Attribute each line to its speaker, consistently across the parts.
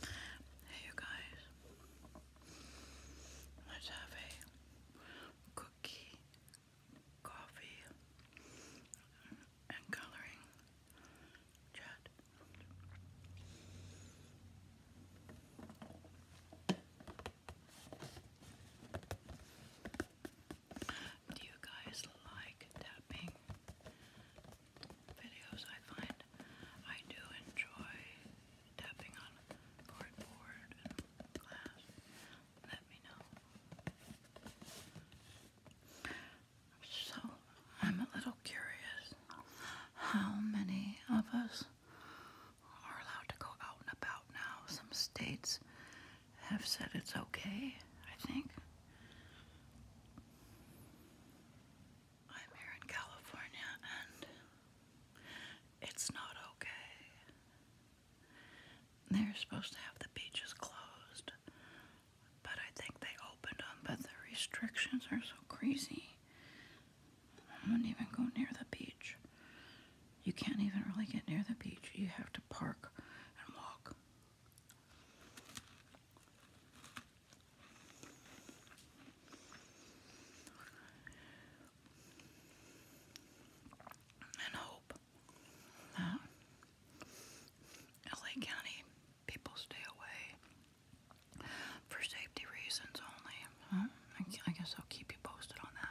Speaker 1: Hey, you guys, let's have a cookie, coffee, and coloring chat. Do you guys like tapping? videos, I find I do enjoy tapping on cardboard and glass. Let me know. So, I'm a little curious how many of us are allowed to go out and about now. Some states have said it's okay, I think. I'm here in California and it's not okay. They're supposed to have the beaches closed, but I think they opened them, but the restrictions are so crazy. I wouldn't even go near the beach. You can't even really get near the beach. You have to park and walk and hope that LA County people stay away for safety reasons only. I guess I'll keep you posted on that.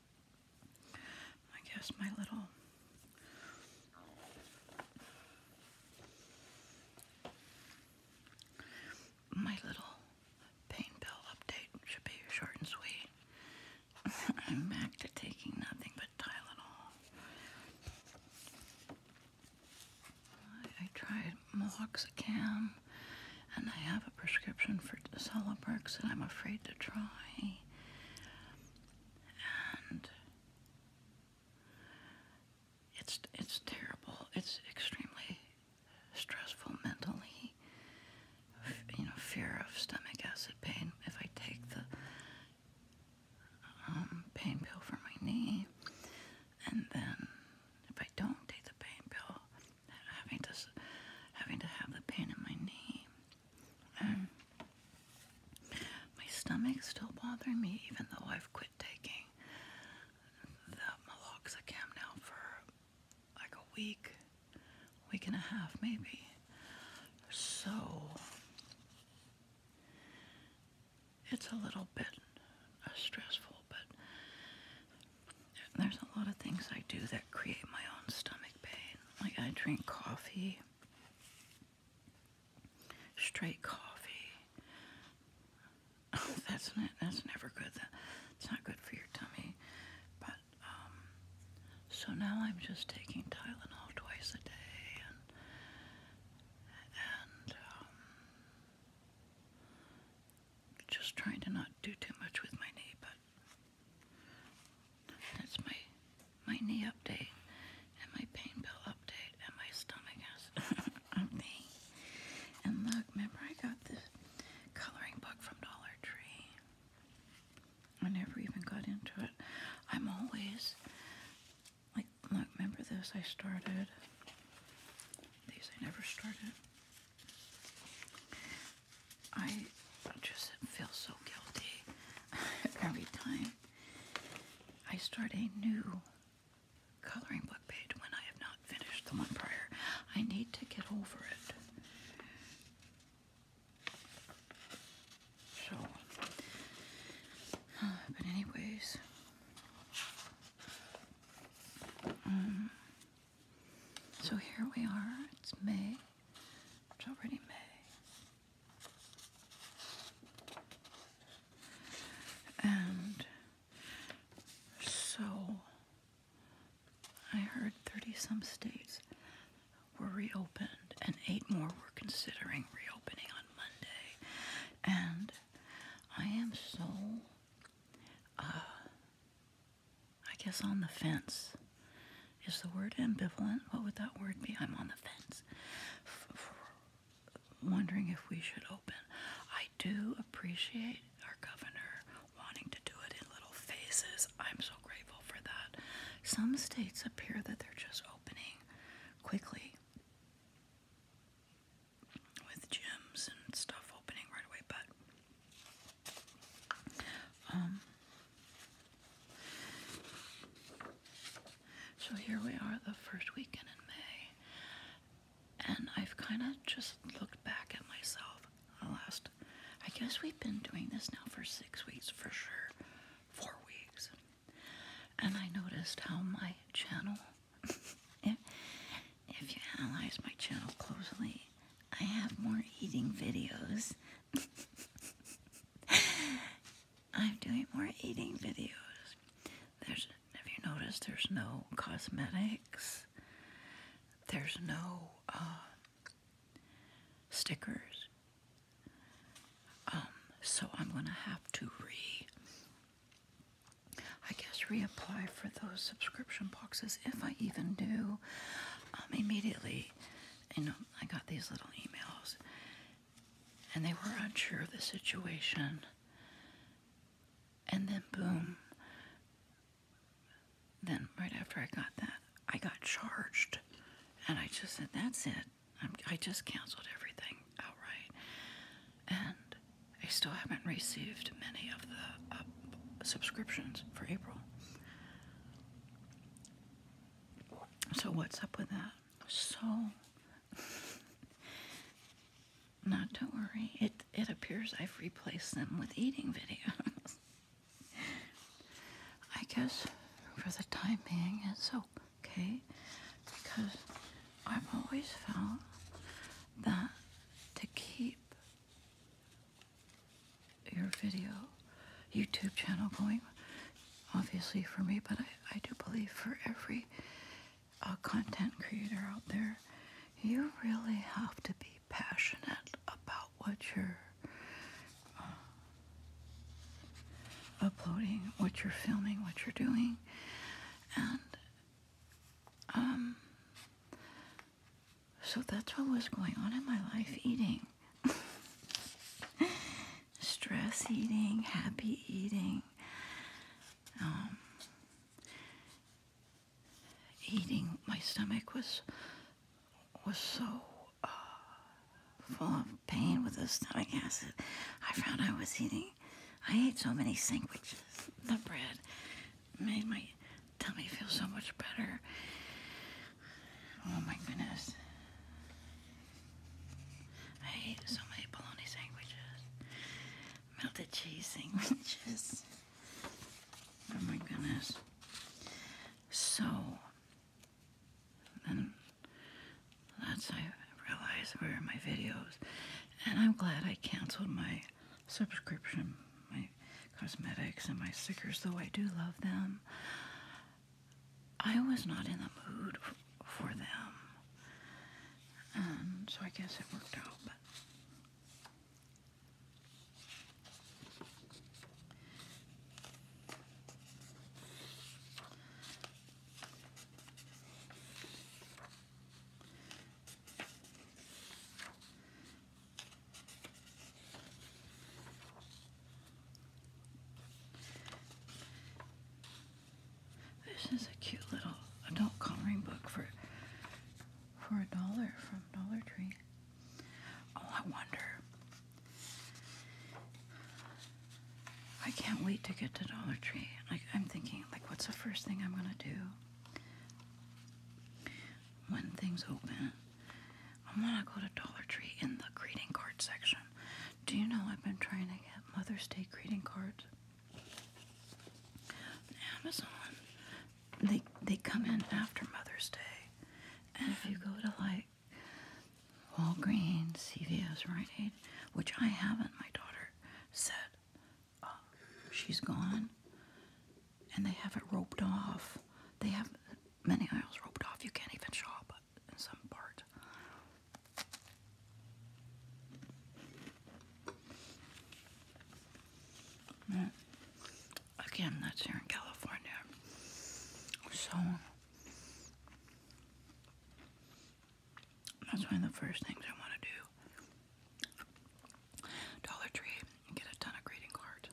Speaker 1: I guess my little my little pain pill update should be short and sweet. I'm back to taking nothing but Tylenol. I, tried Meloxicam, and I have a prescription for Celebrex that I'm afraid to try and it's it's terrible. It's extremely stressful mentally. You know, fear of stomach acid pain. If I take the um, pain pill for my knee, and then if I don't take the pain pill, having to having to have the pain in my knee um, my stomach's still bothering me, even though I've quit taking the meloxicam now for like a week, week and a half maybe. So it's a little bit uh, stressful, but there's a lot of things I do that create my own stomach pain. Like I drink coffee Straight coffee. Oh, that's not, that's never good. That, it's not good for your tummy. But um, so now I'm just taking Tylenol twice a day, and um, just trying to not do too much with my knee, but that's my my knee update and my pain pill update and my stomach acid update. And look, remember I got this coloring book from Dollar Tree. I never even got into it. I'm always like look, remember this I started. These I never started. I just feel so guilty every time I start a new coloring book page when I have not finished the one prior. I need to get over it. So, anyways, um, so here we are. It's May. It's already May. And so I heard 30 some states were reopened, and eight more were considering reopening on Monday. And I am so, uh, I guess, on the fence is the word ambivalent? What would that word be? I'm on the fence. wondering if we should open. I do appreciate our governor wanting to do it in little phases. I'm so grateful for that. Some states appear that they're just opening quickly with gyms and stuff opening right away, but um, so here we are, the first weekend in May, and I've kind of just looked back at myself. The last, I guess we've been doing this now for six weeks for sure, four weeks, and I noticed how my channel. if, if you analyze my channel closely, I have more eating videos I'm doing more eating videos. There's, have you noticed there's no cosmetics? There's no uh, stickers. Um, so I'm going to have to re, I guess, reapply for those subscription boxes if I even do. Um, immediately, you know, I got these little emails, and they were unsure of the situation. And then, boom, then right after I got that, I got charged. And I just said, that's it. i just canceled everything outright. And I still haven't received many of the uh, subscriptions for April. So, what's up with that? So, not to worry, it, it appears I've replaced them with eating videos. I guess for the time being, it's okay because I've always felt that to keep your video YouTube channel going, obviously for me, but I, I do believe for every uh, content creator out there, you really have to be passionate about what you're uh, uploading, what you're filming, what you're doing, and um, so that's what was going on in my life eating. stress eating, happy eating, um, eating. My stomach was was so uh, full of pain with the stomach acid. I found I was eating. I ate so many sandwiches. The bread made my tummy feel so much better. Oh my goodness. I hate so many bologna sandwiches, melted cheese sandwiches. Oh my goodness. So, then that's I realized where my videos, and I'm glad I canceled my subscription, my cosmetics and my stickers, though I do love them. I was not in the mood for them. Um, so I guess it worked out. This is a cute little adult coloring book for for a dollar from Dollar Tree. Oh, I wonder. I can't wait to get to Dollar Tree. Like I'm thinking, like, what's the first thing I'm gonna do when things open? I am going to go to Dollar Tree in the greeting card section. Do you know I've been trying to get Mother's Day greeting cards? Amazon, they they come in after Mother's Day, and if you go to like Walgreens, CVS, right? Aid, which I haven't, my daughter said uh, she's gone, and they have it roped off. They have many aisles roped off. You can't even shop some part. Again, that's here in California. So, that's one of the first things I want to do. Dollar Tree get a ton of greeting cards.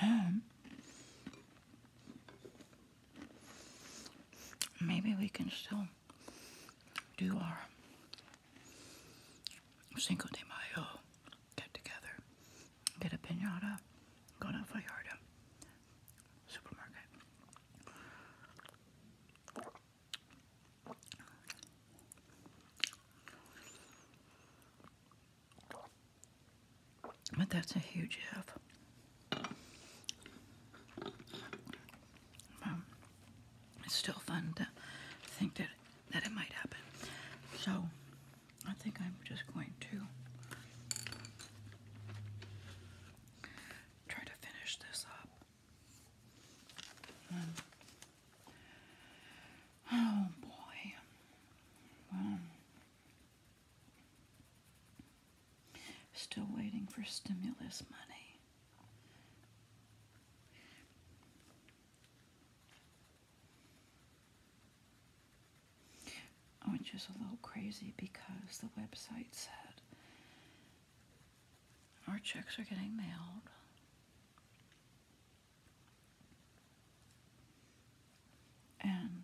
Speaker 1: And Maybe we can still do our Cinco de Mayo get together, get a pinata, go to Vallarta supermarket. But that's a huge if. Um, it's still fun to think that, that it might happen. So, I think I'm just going to try to finish this up. Um, oh boy. Um, Still waiting for stimulus money. Which oh, just a little crazy because the website said our checks are getting mailed. And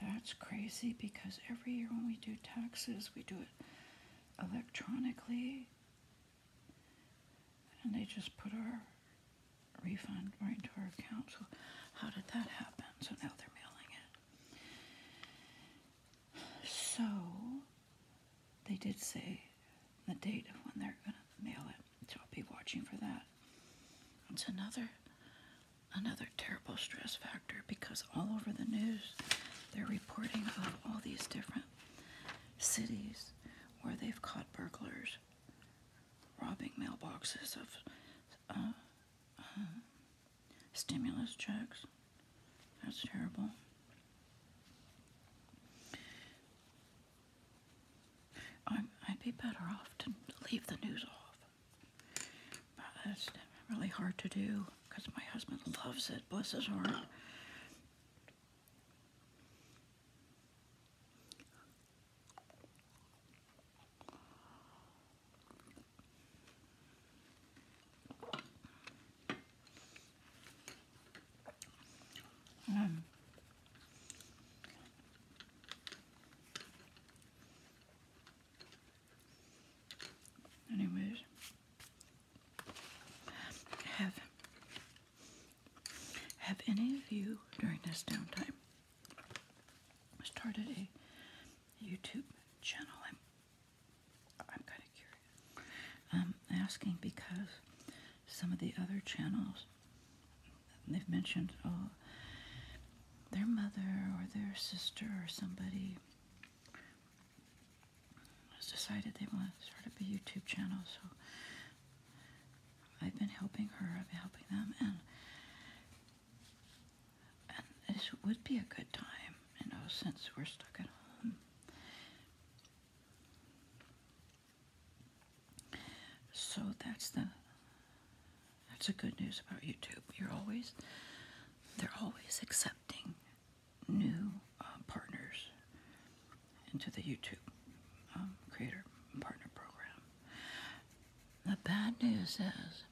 Speaker 1: that's crazy because every year when we do taxes, we do it electronically. And they just put our refund right into our account. So, how did that happen? So now they're mailing it. So, they did say the date of when they're going to mail it. So I'll be watching for that. It's another another terrible stress factor because all over the news they're reporting of all these different cities where they've caught burglars robbing mailboxes of uh, uh, stimulus checks. That's terrible i would be better off to leave the news off. But it's really hard to do because my husband loves it, bless his heart. Um, Anyways, have have any of you during this downtime started a YouTube channel? I'm I'm kind of curious. I'm um, asking because some of the other channels they've mentioned uh, their mother or their sister or somebody has decided they want to start up a YouTube channel. So I've been helping her, I've been helping them, and and this would be a good time, you know, since we're stuck at home. So that's the that's the good news about YouTube. You're always they're always accepting new uh, partners into the YouTube um, creator partner program. The bad news is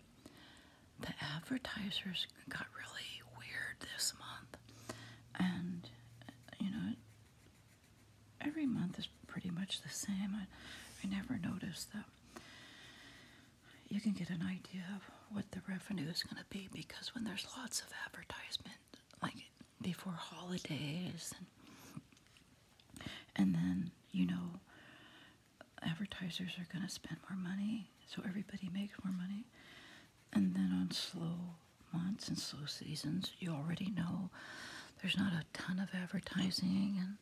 Speaker 1: the advertisers got really weird this month, and you know every month is pretty much the same. I, never noticed that. You can get an idea of what the revenue is going to be because when there's lots of advertisement, like before holidays, and, then, you know, advertisers are going to spend more money, so everybody makes more money. And then on slow months and slow seasons, you already know there's not a ton of advertising,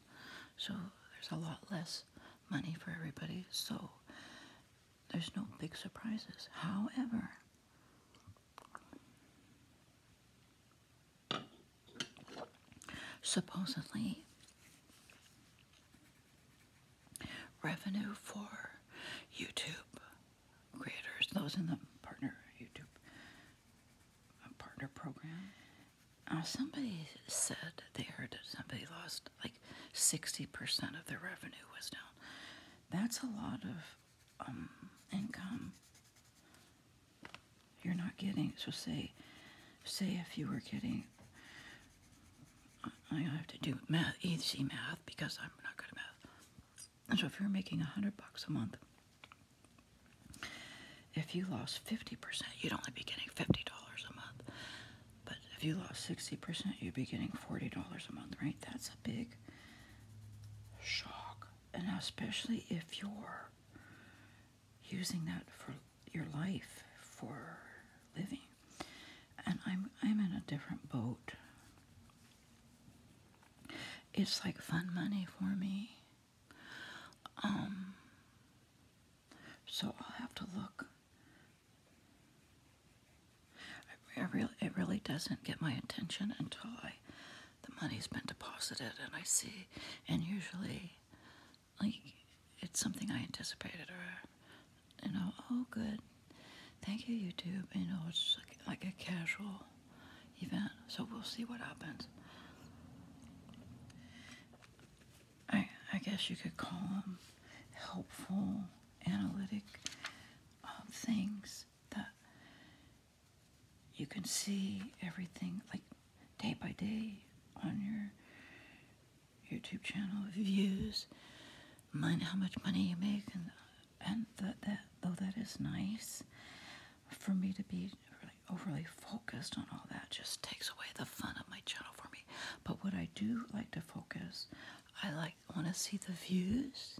Speaker 1: so there's a lot less money for everybody. So there's no big surprises. However, supposedly revenue for YouTube creators, those in the partner YouTube uh, partner program, uh, somebody said they heard somebody lost like 60% of their revenue was down. That's a lot of um, income you're not getting. So say, say if you were getting, I have to do math, easy math because I'm not good at math. so if you're making a hundred bucks a month, if you lost 50%, you'd only be getting $50 a month. But if you lost 60%, you'd be getting $40 a month, right? That's a big shock. And especially if you're using that for your life, for living. And I'm, I'm in a different boat. It's like fun money for me. Um, so I'll have to look. I, really, it really doesn't get my attention until I, the money's been deposited and I see, and usually, like, it's something I anticipated or, you know, oh, good, thank you, YouTube. You know, it's like a casual event. So we'll see what happens. I, I guess you could call them helpful, analytic um, things that you can see everything like day by day on your YouTube channel views, mind how much money you make, and that that though that is nice, for me to be overly focused on all that just takes away the fun of my channel for me. But what I do like to focus, I like want to see the views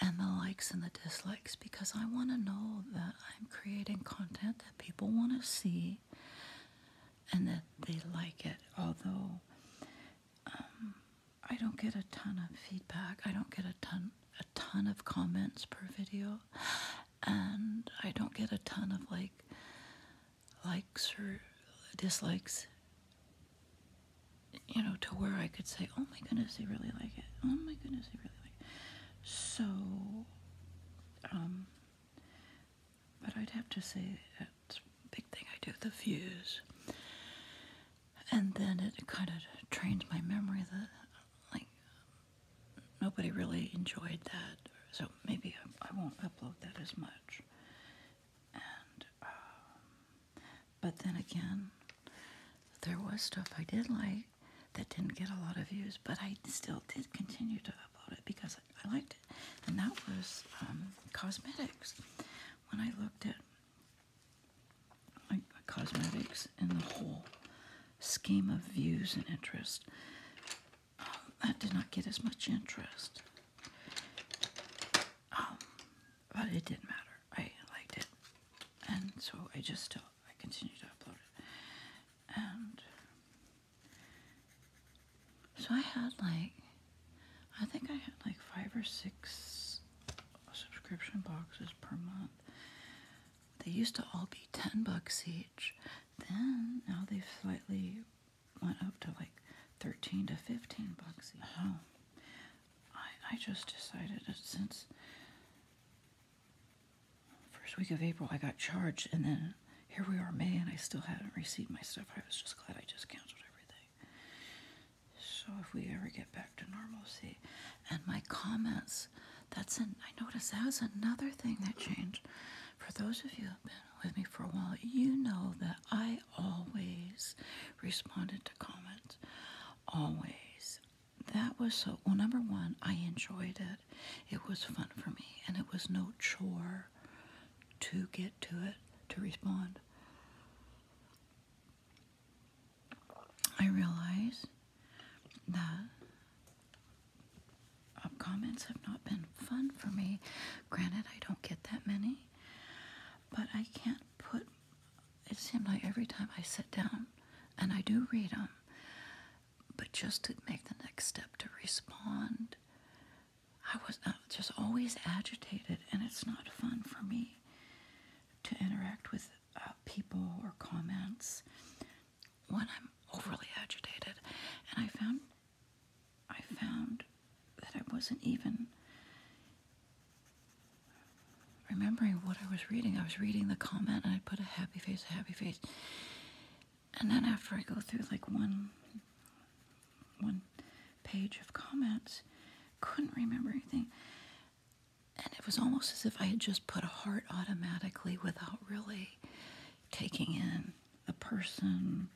Speaker 1: and the likes and the dislikes because I want to know that I'm creating content that people want to see and that they like it. Although um, I don't get a ton of feedback, I don't get a ton ton of comments per video and I don't get a ton of like likes or dislikes you know to where I could say oh my goodness they really like it oh my goodness they really like it so um but I'd have to say that big thing I do the views and then it kind of trains my memory that like nobody really enjoyed that, so maybe I, won't upload that as much. Um, but then again, there was stuff I did like that didn't get a lot of views, but I still did continue to upload it because I, liked it. And that was um, cosmetics. When I looked at cosmetics in the whole scheme of views and interest. that um, did not get as much interest. Um, but it didn't matter. I liked it. And so I just still, I continue to upload it. And so I had like, I think I had like five or six subscription boxes per month. They used to all be 10 bucks each. Then now they slightly went up to like 13 to 15 bucks each. Oh. I, I just decided that since first week of April I got charged and then here we are May and I still haven't received my stuff. I was just glad I just canceled everything. So if we ever get back to normalcy and my comments that's an. I noticed that was another thing that changed. For those of you have been with me for a while, you know that I always responded to comments. Always. That was so. Well, number one, I enjoyed it. It was fun for me, and it was no chore to get to it, to respond. I realize the comments have not been fun for me. Granted, I don't get that many, but I can't put. It seems like every time I sit down, and I do read them, but just to make the next step to respond, I was just always agitated, and it's not fun for me to interact with uh, people or comments when I'm overly agitated. And I found I found that I wasn't even remembering what I was reading. I was reading the comment and I put a happy face, a happy face. And then after I go through like one one page of comments, couldn't remember anything. And it was almost as if I had just put a heart automatically without really taking in the person,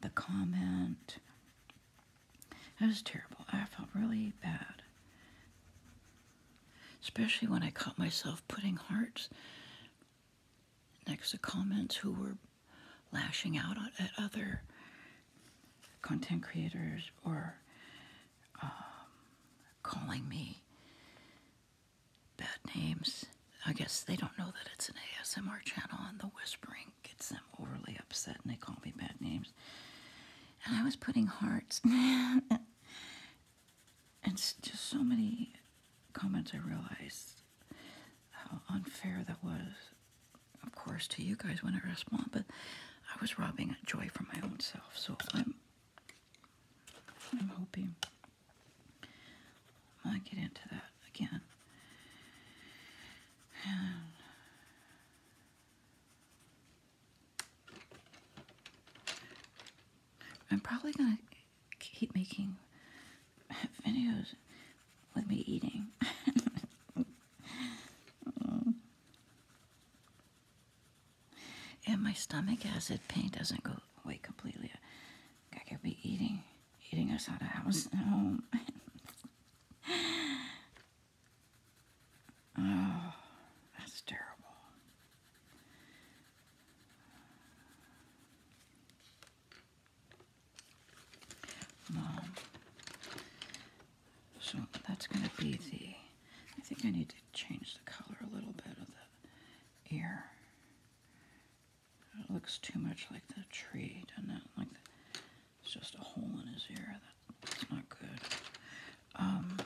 Speaker 1: the comment. It was terrible. I felt really bad. Especially when I caught myself putting hearts next to comments who were lashing out at other content creators or um, calling me bad names. I guess they don't know that it's an ASMR channel, and the whispering gets them overly upset, and they call me bad names. And I was putting hearts, and just so many comments. I realized how unfair that was, of course, to you guys when I respond. But I was robbing joy from my own self, so I'm I'm hoping I get into that again. I'm probably gonna keep making videos with me eating. And my stomach acid pain doesn't go away completely. I could be eating, eating us out of house and home. oh, that's terrible. Mom. So that's going to be the, I think I need to change the color a little bit of the ear. It looks too much like the tree, doesn't Like it's just a hole in his ear. that's not good. Um,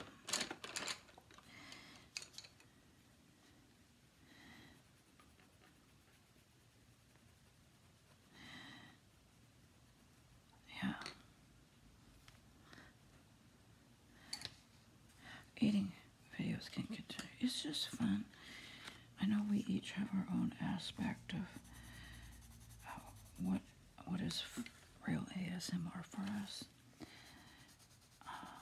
Speaker 1: yeah. Eating videos can continue. It's just fun. I know we each have our own aspect of uh, what what is real ASMR for us. Uh,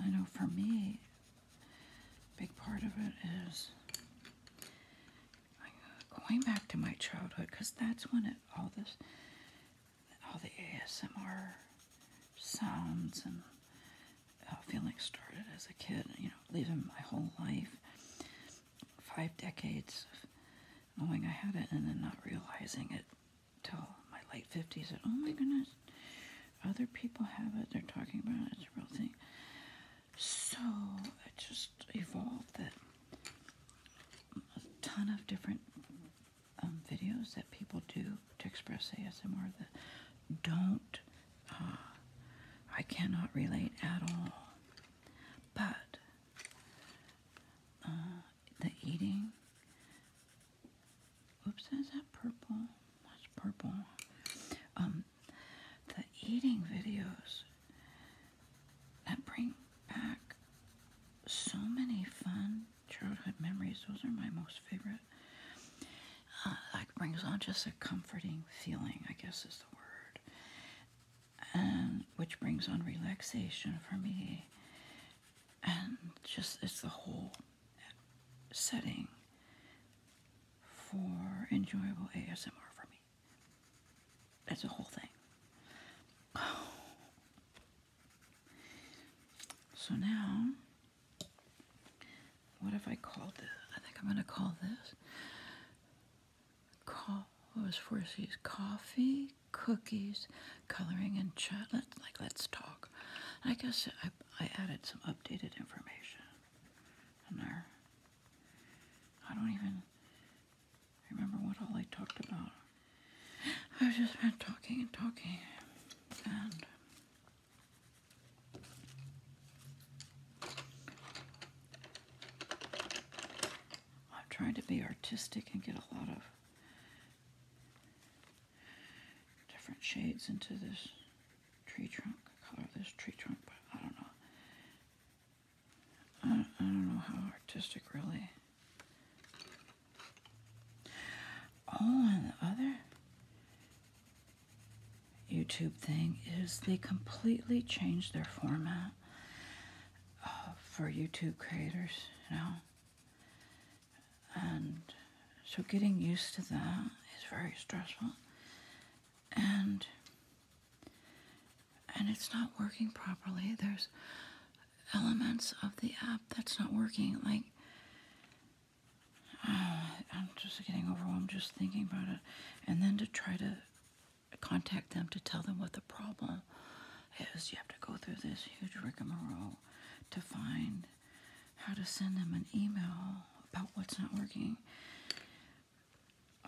Speaker 1: I know for me, big part of it is going back to my childhood because that's when it all this all the ASMR sounds and uh, feelings started as a kid, you know, leaving my whole life, five decades of knowing I had it and then not realizing it till my late 50s. And oh my goodness, other people have it, they're talking about it, it's a real thing. So it just evolved that a ton of different um, videos that people do to express ASMR that don't, ah, I cannot relate at all. But uh, the eating, oops, is that purple? What's purple. Um, the eating videos that bring back so many fun childhood memories, those are my most favorite. Uh, like brings on just a comforting feeling, I guess is the word, and which brings on relaxation for me, and just it's the whole setting for enjoyable ASMR for me. That's the whole thing. So now, what if I called this? I think I'm going to call this. Call, what was four C's? Coffee, cookies, coloring, and chat. let like, let's talk. I guess I, I added some updated information in there. I don't even remember what all I talked about. I've just been talking and talking, and I'm trying to be artistic and get a lot of different shades into this tree trunk, color this tree trunk, but I don't know. I, don't know how artistic really Oh, and the other YouTube thing is they completely changed their format uh, for YouTube creators, you know. And so getting used to that is very stressful. And and it's not working properly. There's elements of the app that's not working. Like, uh, I'm just getting overwhelmed just thinking about it. And then to try to contact them to tell them what the problem is, you have to go through this huge rigmarole to find how to send them an email about what's not working.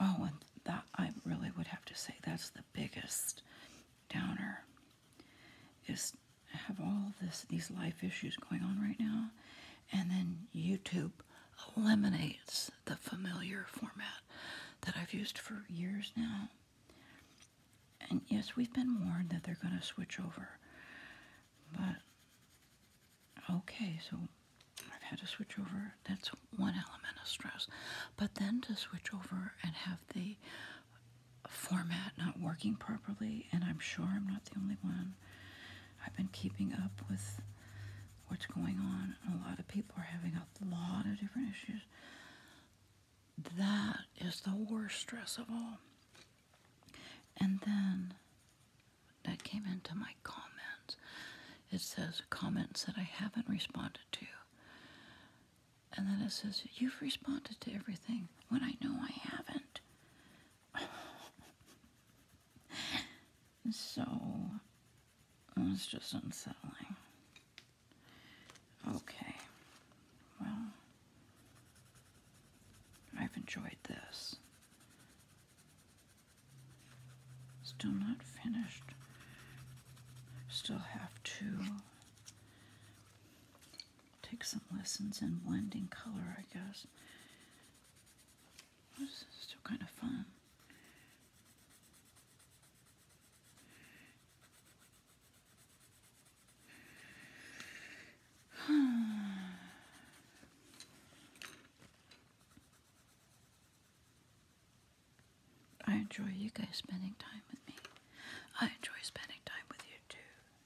Speaker 1: Oh, and that I really would have to say that's the biggest downer is I have all this these life issues going on right now, and then YouTube eliminates the familiar format that I've used for years now. And yes, we've been warned that they're going to switch over, but okay, so I've had to switch over. That's one element of stress. But then to switch over and have the format not working properly, and I'm sure I'm not the only one. I've been keeping up with what's going on, a lot of people are having a lot of different issues. That is the worst stress of all. And then that came into my comments. It says comments that I haven't responded to. And then it says, You've responded to everything when I know I haven't. so, it's just unsettling. Okay. Well, I've enjoyed this. Still not finished. Still have to Take some lessons in blending color, I guess. still kind of fun. I enjoy you guys spending time with me. I enjoy spending time with you too.